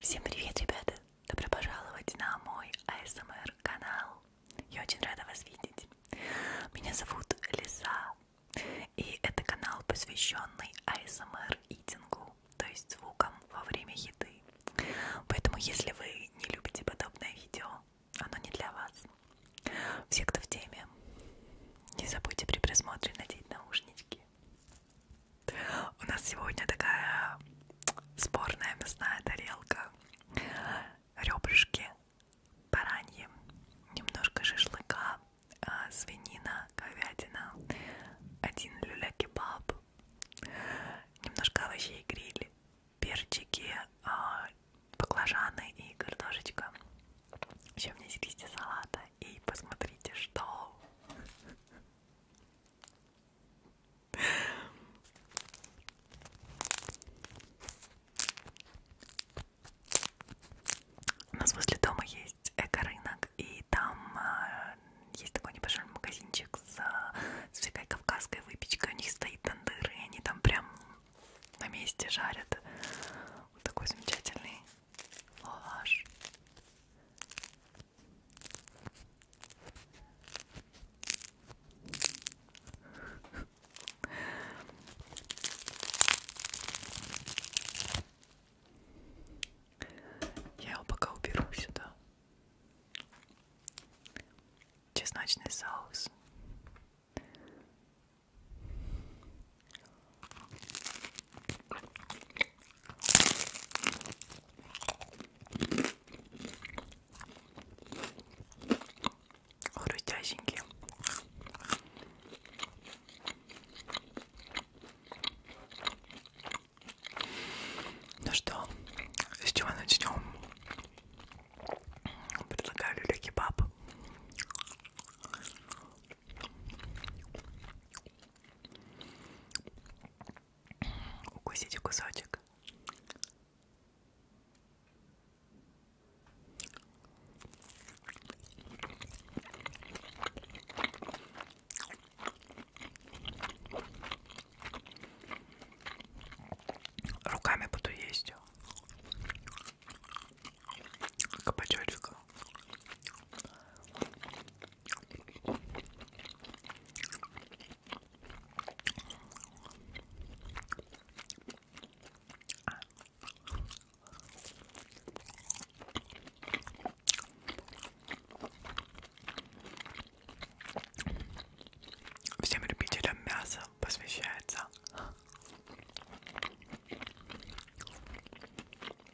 Всем привет, ребята! Добро пожаловать на мой ASMR канал. Я очень рада вас видеть. Меня зовут Лиса, и это канал, посвященный ASMR итингу, то есть звукам во время еды. Поэтому, если вы не любите подобное видео, оно не для вас. Все, кто в теме, не забудьте при просмотре надеть наушнички. У нас сегодня такая спорная мясная тарелка. Ребрышки бараньи, немножко шашлыка, а, свинина, говядина, один люля-кебаб, немножко овощей гриль, перчики, а, баклажаны и картошечка. Еще у меня есть листья салата. И посмотрите, что у нас возле дома есть эко-рынок, и там а, есть такой небольшой магазинчик с, а, с всякой кавказской выпечкой. У них стоит тандыр, и они там прям на месте жарят. Вот такой замечательный лаваш. Я его пока уберу сюда. Чесночный соус. Грустясенькие. Ну что, с чего начнем? Предлагаю люля кебаб. Укусите кусочек. Руками буду есть. Кабачочка. Всем любителям мяса посвящается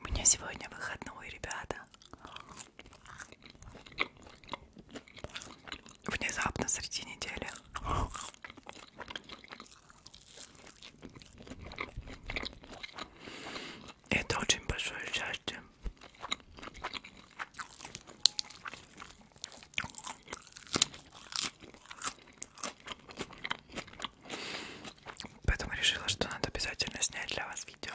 У меня сегодня выходной, ребята. Внезапно среди недели. Это очень большое счастье. Поэтому решила, что надо обязательно снять для вас видео.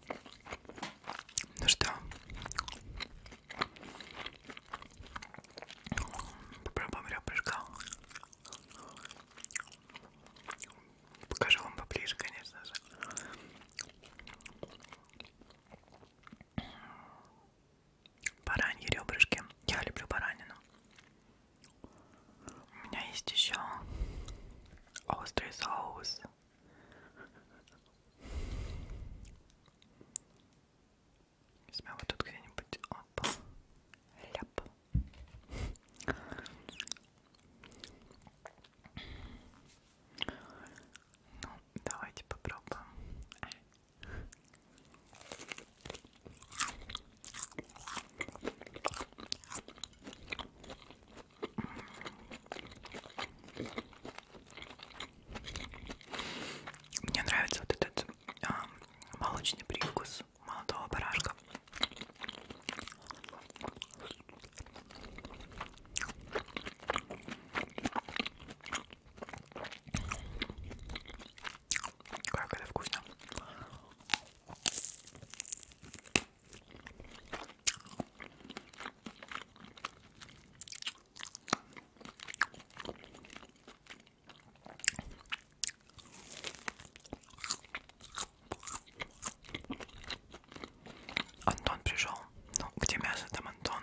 Ну что? Попробуем ряд прыжка. Покажу вам поближе, конечно же. Бараньи ребрышки. Я люблю баранину. У меня есть еще острый соус. Если вот тут где-нибудь опа, ляп. Ну, давайте попробуем. Мне нравится вот этот а, молочный привкус молодого барашка. Как это вкусно. Антон пришел. Ну, где мясо, там Антон.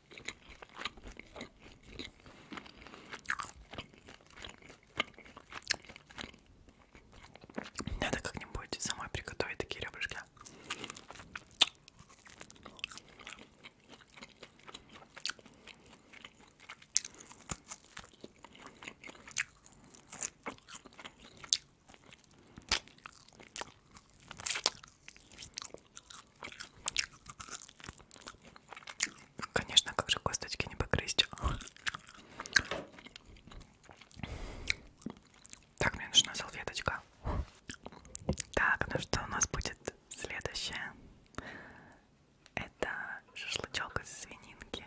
Надо как-нибудь самой приготовить такие ребрышки. Конечно, как же косточки не покрыть. Так, мне нужна салфеточка. Так, ну что у нас будет следующее? Это шашлычок из свининки.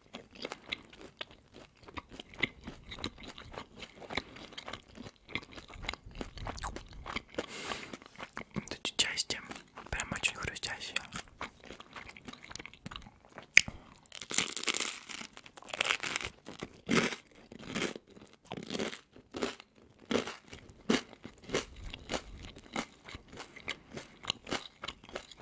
Эти части прям очень хрустящие.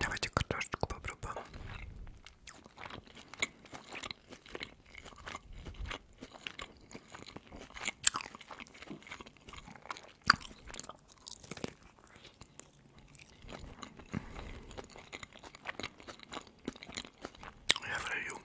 Давайте картошечку попробуем. Я в раю.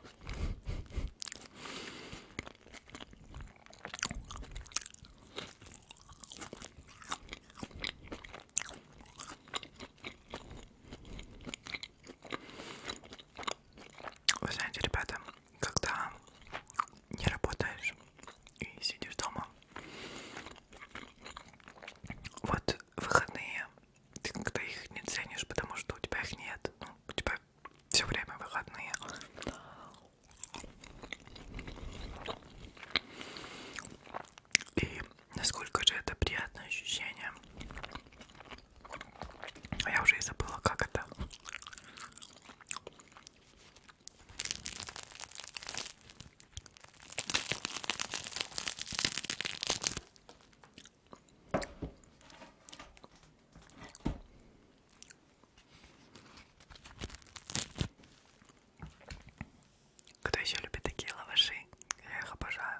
Вы знаете, ребята, когда не работаешь и сидишь дома, вот выходные, ты когда их не ценишь, потому что у тебя их нет, ну, у тебя все время выходные. И насколько же это приятное ощущение. А я уже и забыла, как это. Кто еще любит такие лаваши? Я их обожаю.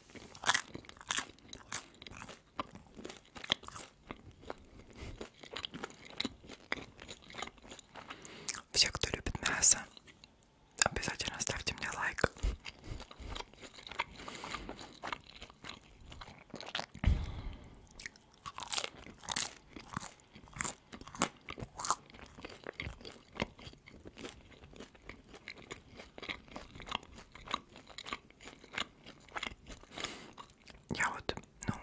Все, кто любит мясо, обязательно ставьте мне лайк. Я вот, ну,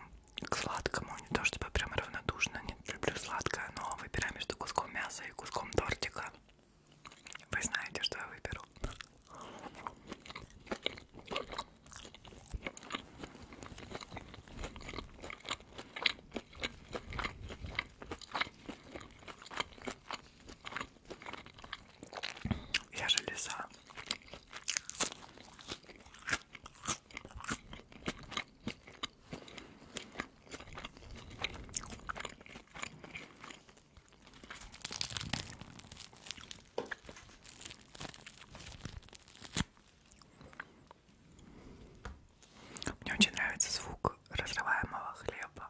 к сладкому не то чтобы прям равнодушно, не люблю сладкое, но выбираю между куском мяса и куском тортика. Вы знаете, что я выберу. Я же лиса. Мне очень нравится звук разрываемого хлеба.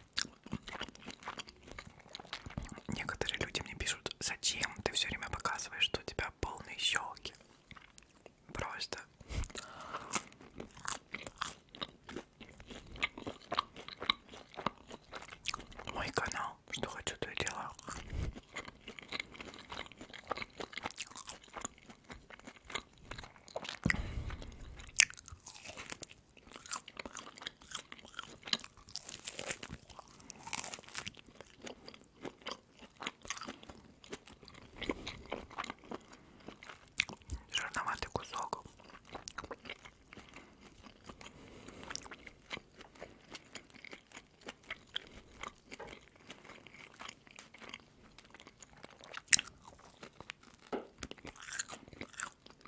Некоторые люди мне пишут, зачем ты все время показываешь, что у тебя полные щелки. Просто. Мой канал, что хочу, то и делаю. Жирноватый кусок.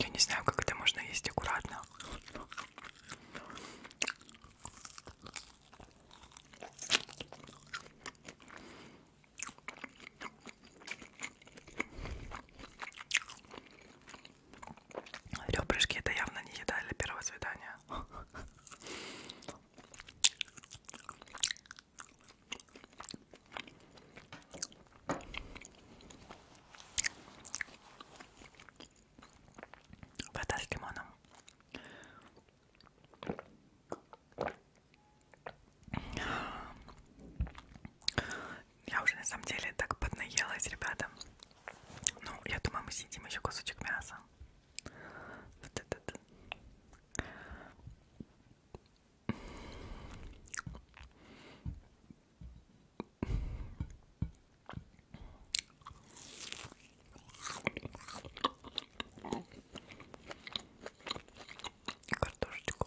Я не знаю, как это можно есть аккуратно. Ребрышки это явно не еда для первого свидания. Вода с лимоном. Я уже на самом деле так поднаелась, ребята. Ну, я думаю, мы съедим еще кусочек мяса. Вот этот. Картошечку.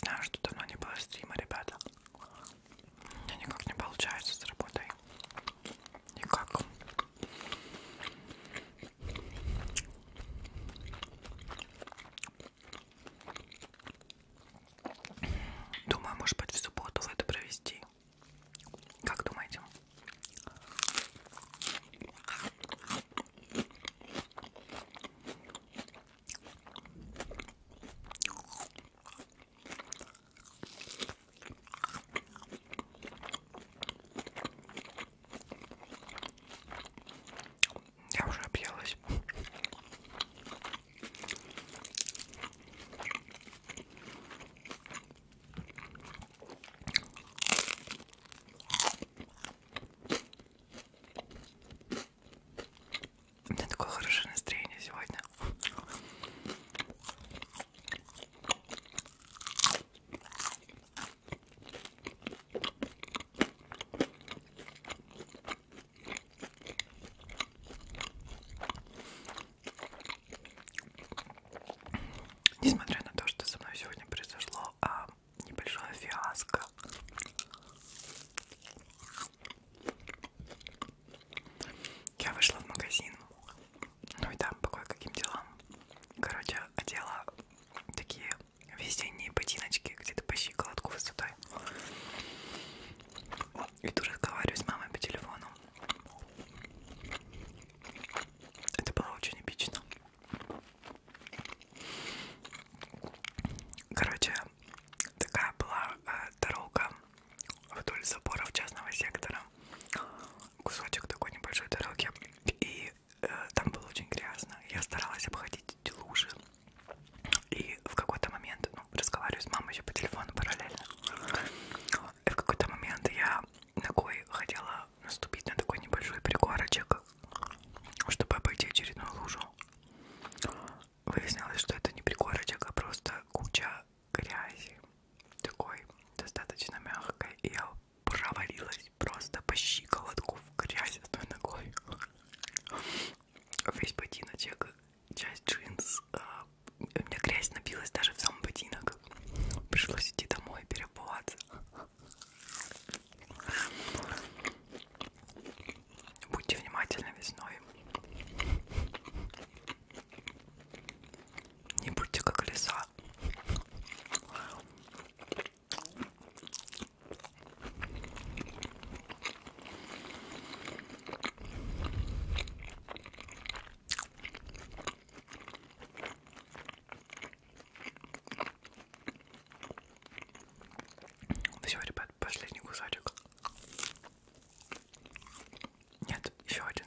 Знаю, что давно не было стрима, ребята. У меня никак не получается с работой. Никак. Думаю, может быть, в субботу это провести. Как думаете? Я уже объелась. У меня такое хорошее настроение сегодня. Несмотря на то, что со мной сегодня произошло а, небольшое фиаско, я вышла в магазин, ну и там по кое-каким делам, короче, одела такие Везде не ботиночки, где-то по щиколотку высотой. Иду разговариваю с мамой по телефону. Это было очень эпично. Короче, такая была э, дорога вдоль заборов частного сектора. Кусочек такой небольшой дороги. И Э, там было очень грязно, я старалась обходить эти лужи. И в какой-то момент, ну, разговариваю с мамой еще по телефону параллельно, и в какой-то момент я ногой хотела наступить на такой небольшой пригорочек, чтобы обойти очередную лужу. Выяснилось, что это не пригорочек, а просто куча грязи. Такой, достаточно мягкой, и я провалилась просто по щиколотку в грязь одной ногой. Весь ботиночек, часть джинс. А, у меня грязь набилась даже в сам ботинок. Пришлось идти домой переобуваться. Будьте внимательны весной. Не будьте как лиса. Все, ребят, последний кусочек. Нет, еще один.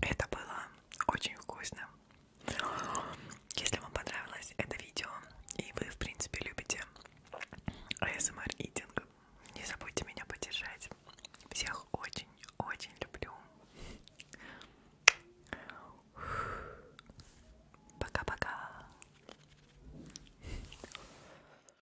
Это было очень вкусно. Если вам понравилось это видео и вы, в принципе, любите ASMR eating, эм не забудьте меня поддержать. Всех очень-очень люблю. Пока-пока.